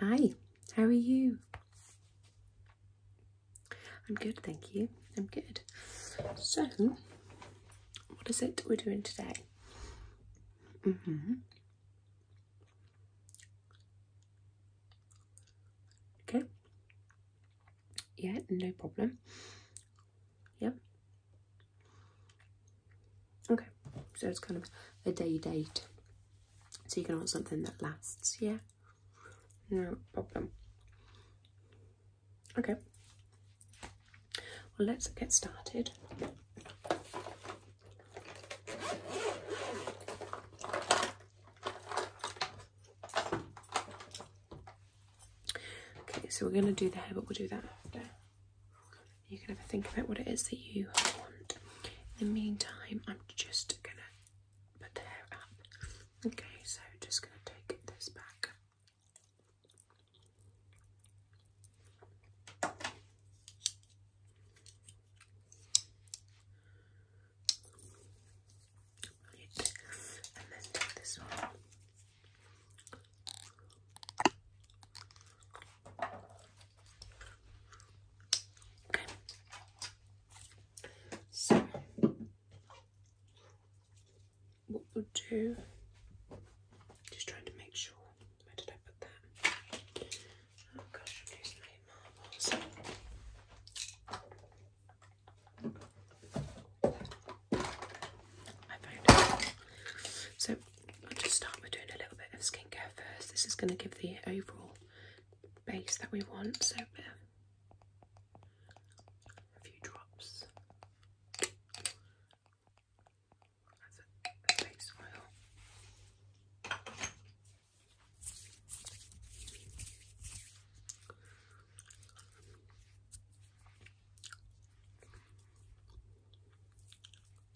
Hi, how are you? I'm good, thank you. I'm good. So, what is it we're doing today? Mm -hmm. Okay. Yeah, no problem. Yep. Yeah. Okay, so it's kind of a day date. So you can want something that lasts, yeah? No problem. Okay. Well, let's get started. Okay, so we're going to do the hair, but we'll do that after. You can have a think about what it is that you want. In the meantime, I'm just gonna put the hair up. Okay, so just gonna take this back. So, what we'll do, just trying to make sure, where did I put that? Oh gosh, I'm losing my marbles. So I'll just start with doing a little bit of skincare first. This is going to give the overall base that we want, so a, few drops. That's a base oil.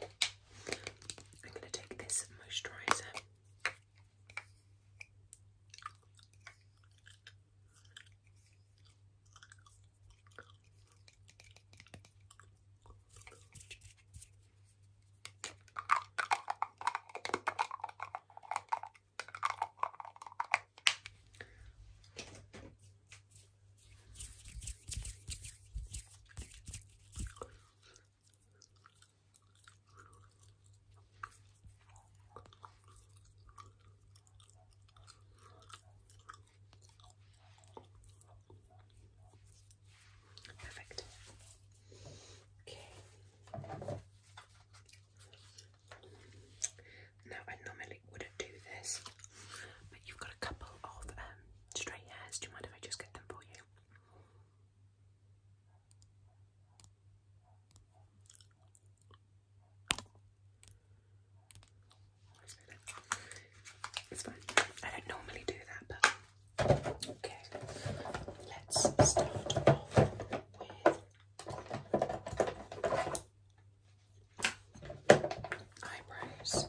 I'm going to take this moisturiser. Perfect. Okay. Now I normally wouldn't do this, but you've got a couple of um, Do you mind if I just get them for you? It's fine. I don't normally do that, but okay. Let's start off with eyebrows.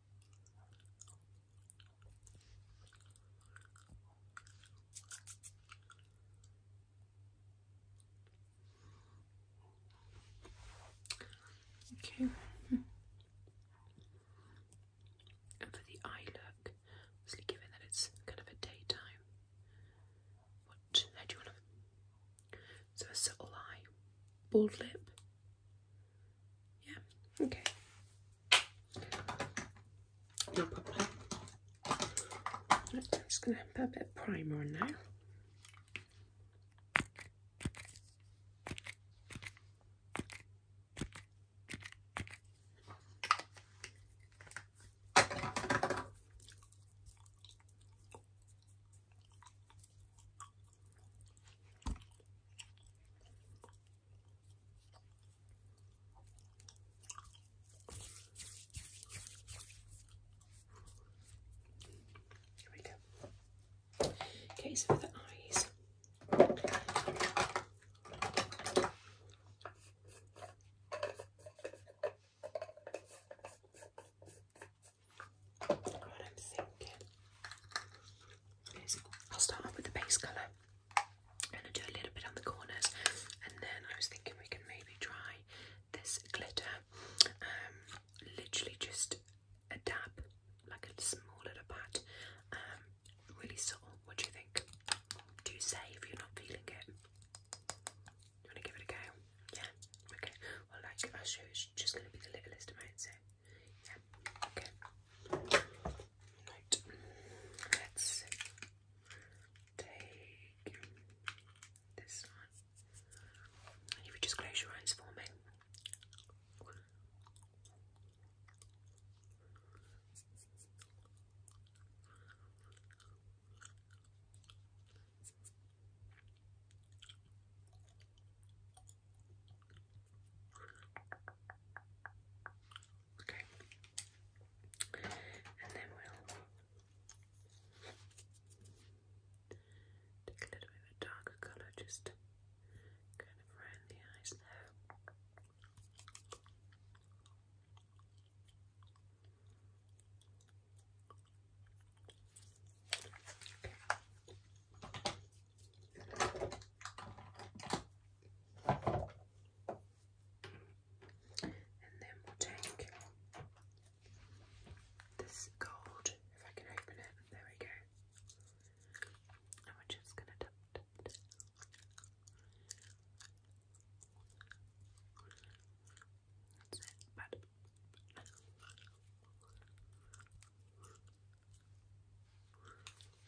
Okay. for the eye look, given that it's kind of a daytime, what do you want So a subtle eye, bold lip, yeah, okay. No problem. I'm just going to put a bit of primer on now. Here we go. Okay, so for the eyes. What I'm thinking is I'll start off with the base colour and I'll do a little bit on the corners, and then I was thinking we can maybe try this glitter, um, literally just a dab, like a small little pat, um, really subtle. What do you think? Do you say if you're not feeling it? You want to give it a go? Yeah. Okay. Well, like I'll it's just going to be the littlest amount. So okay. Right. Let's take this one. And if just close your eyes for me. Okay. And then we'll take a little bit of a darker colour just kind of around the eyes there. And then we'll take this gold, if I can open it, there we go. And we're just going to tap, tap, That's it, but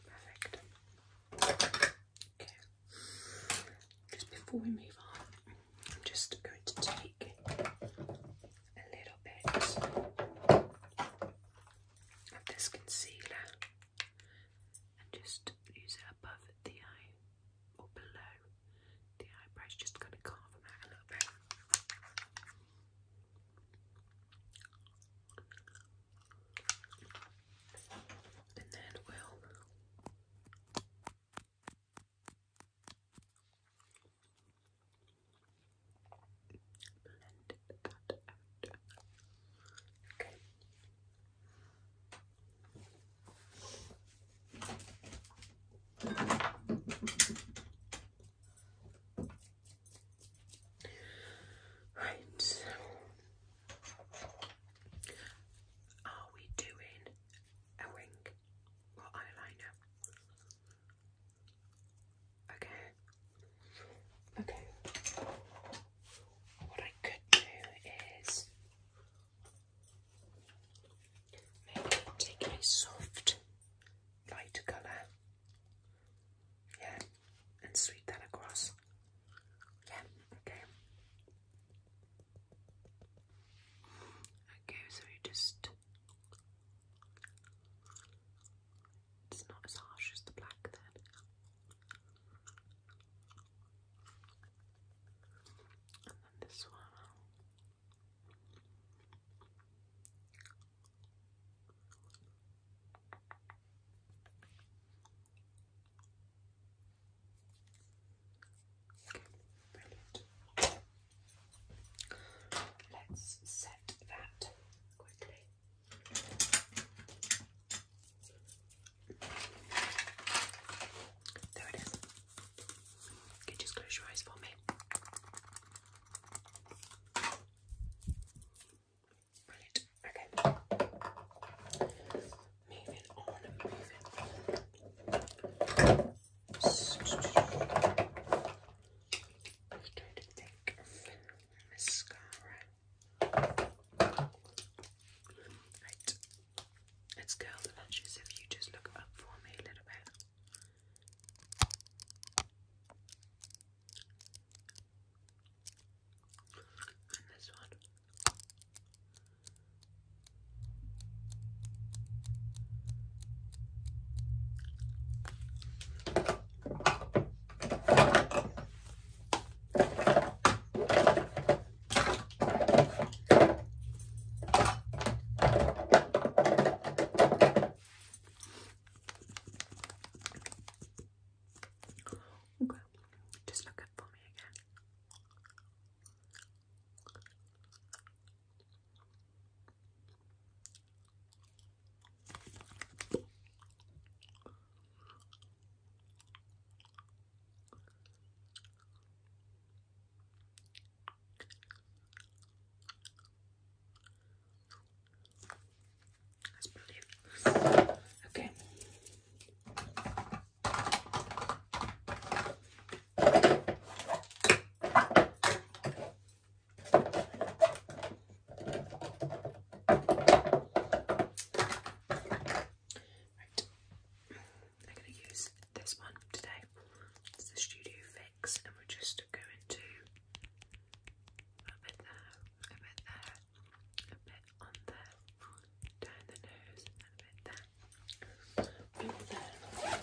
Perfect. Okay. Just before we move on, I'm just going to take a little bit of this concealer and just use it above the eye or below the eyebrows, just kind of carve a little bit. And then will blend that out. Okay. Right. Are we doing a wing or eyeliner? Okay. Okay. What I could do is Maybe take a soft light colour. Yeah, and sweep that across. Yeah, okay. Okay, so you just it's not as harsh as the black then. And then this one. Let's set that quickly. There it is. Okay, just close your eyes for me. Brilliant. Okay. Moving on moving on. I'm going to take a Right. Let's go. the if you just look up for me a little bit. And this one. Okay, just look up for me again. Okay. Right. I'm going to use this one today. It's the Studio Fix, and we're just just go into a bit there, a bit there, a bit on there, down the nose, a bit there, a bit there. Blend it all out.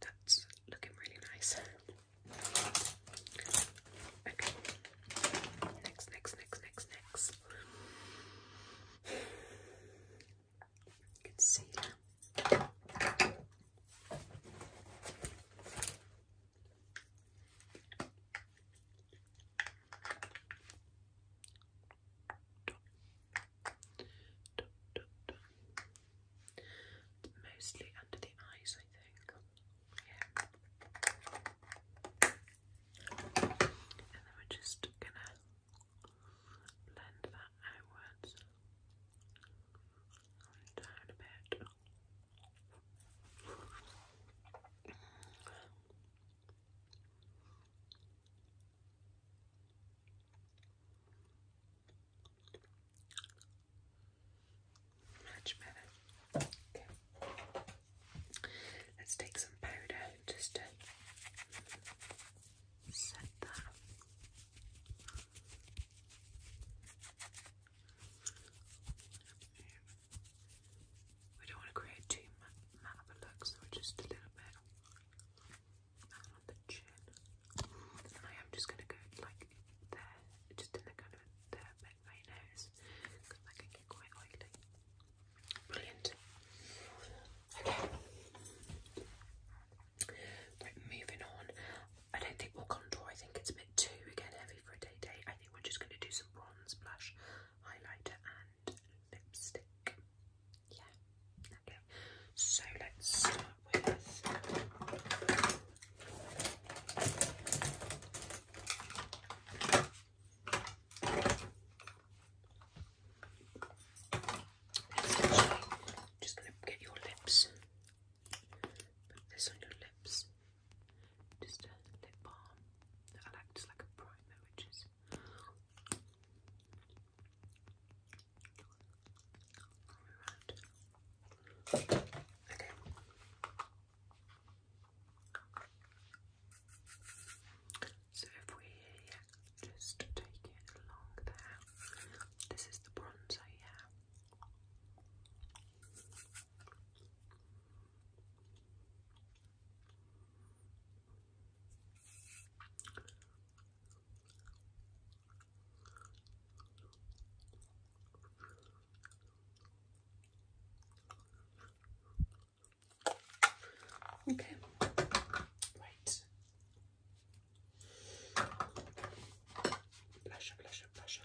That's looking really nice. Okay. Next, next, next, next, next. Concealer mostly under the eyes, I think. Yeah. And then we're just gonna blend that outwards and down bit. Much better. Let's take some powder just to set that. We don't want to create too matte of a look, so we're just a little bit on the chin. I am just going to go like there, just in the kind of the bit of nose, because that can get quite oily. Brilliant. Okay. moving on. I don't think we'll contour. I think it's a bit too again heavy for a day day. I think we're just going to do some bronze blush, highlighter, and lipstick. Yeah. Okay. So let's start with just gonna get your lips. Put this on your lips. Just a lip balm that I like a primer, which is so if we just take it along there, this is the bronzer, yeah. Okay, right. Blusher, blusher, blusher.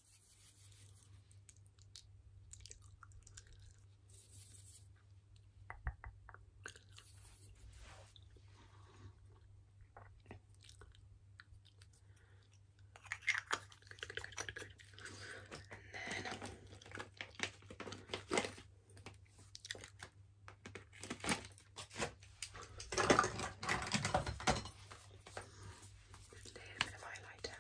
Good, good, And then a little bit of highlighter.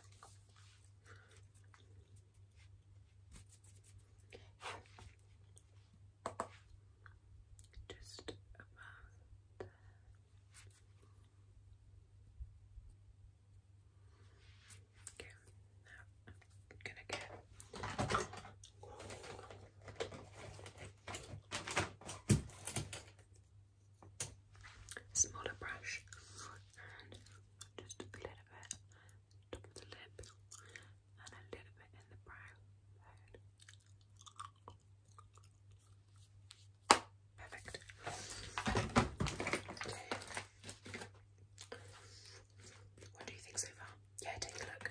Just about Okay, now I'm gonna get smaller brush just a little bit top of the lip and a little bit in the brow Perfect. What do you think so far? Yeah, take a look.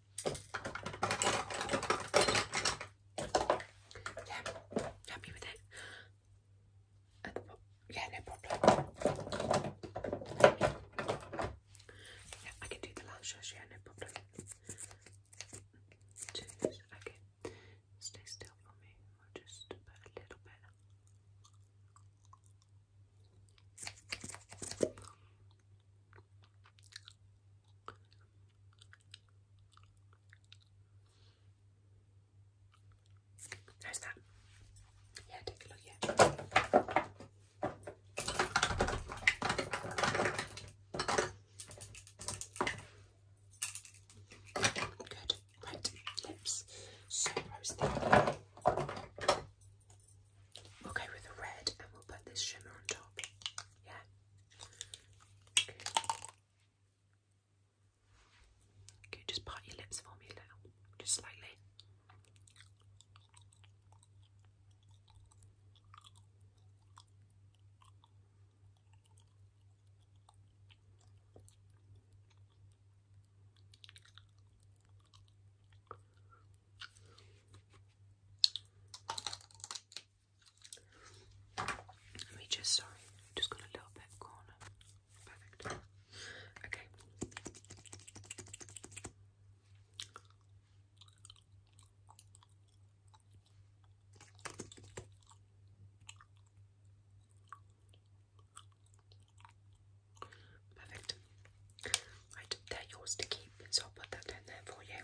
Yeah, happy with it. yeah, no problem. Yeah, I can do the last yeah, no problem. Jeez, okay. Stay still for me. just a little bit. There's that. Yeah, take a look. Yeah. Good. Right. Lips. So rosy. Okay, with the red and we'll put this shimmer on top. Yeah. Okay. just part your lips for me little? Just slightly. Let me just, sorry, just got a little bit corner. Perfect. Okay. Perfect. Right, they're yours to keep, so I'll put that down there for you.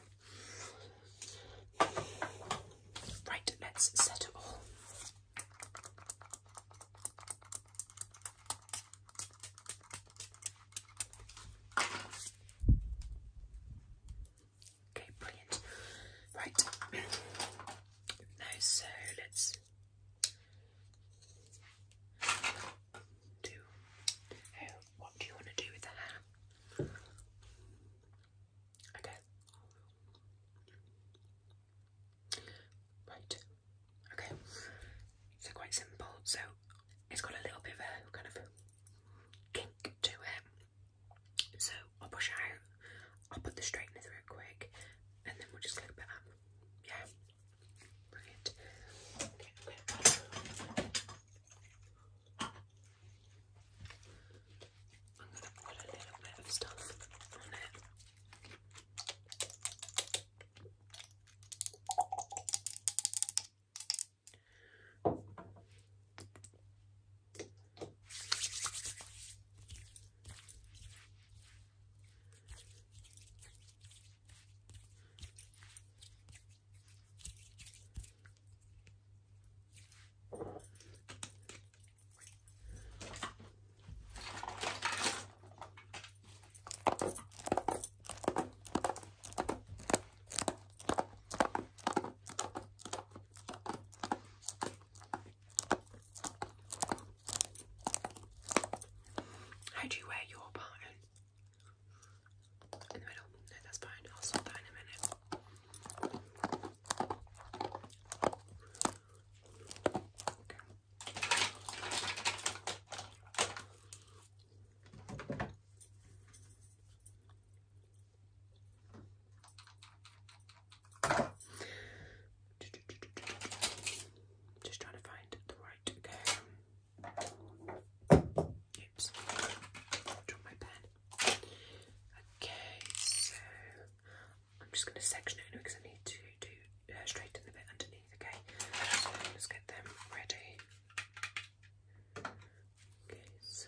Right, let's set it all. Okay, brilliant. Right. now, so let's do. Hey, what do you want to do with the hair? Okay. Right. Okay. So quite simple. So it's got a little bit of a kind of kink to it. So I'll push out. I'll put the straightener through quick, and then we'll just clip it up. Yeah. Brilliant. Okay. okay. I'm going to put a little bit of stuff on it. How do you wear your pattern? I'll sort that in a minute. Just trying to find the right Oops. Drop my pen. Okay, so I'm just going to section it because I need to do uh, straighten the bit underneath. Okay, so let's get them ready. Okay, so.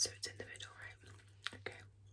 So it's in the middle, right? Okay.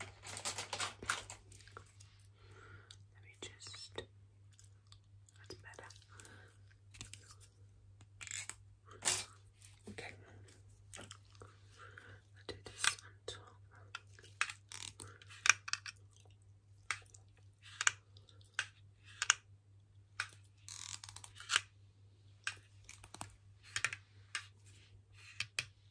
Let me just. That's better. Okay. i do this on top.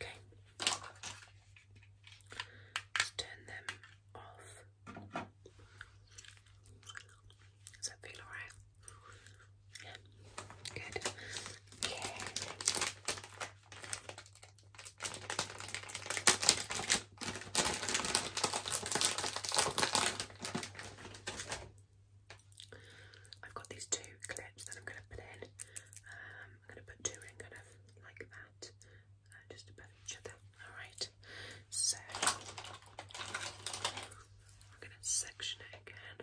Okay. Let's turn them off. Does that feel alright? Yeah. Good. Okay. I've got these two clips that I'm going to put in. Um, I'm going to put two in kind of like that, uh, just above each other. Alright, so I'm going to section it again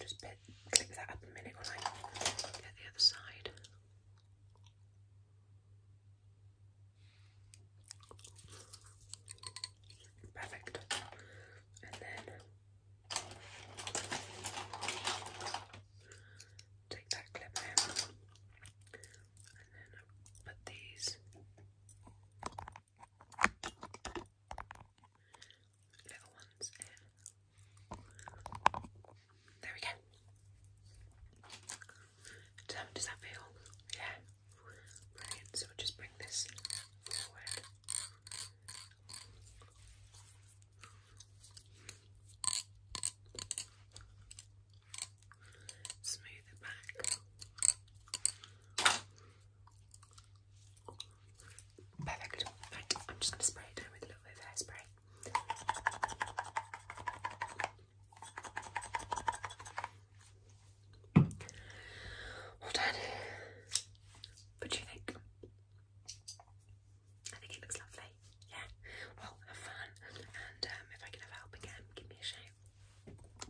just bit, that up a minute while I get the other side. Perfect. And then take that clip out and then put these Little ones There we go. Does does that feel? Yeah. Brilliant. So just bring this Smooth it back. Perfect. Right, I'm just going to spray it down with a little bit of hairspray. All done. What do you think? I think it looks lovely. Yeah. Well, have fun. And um, if I can have help again, give me a shout.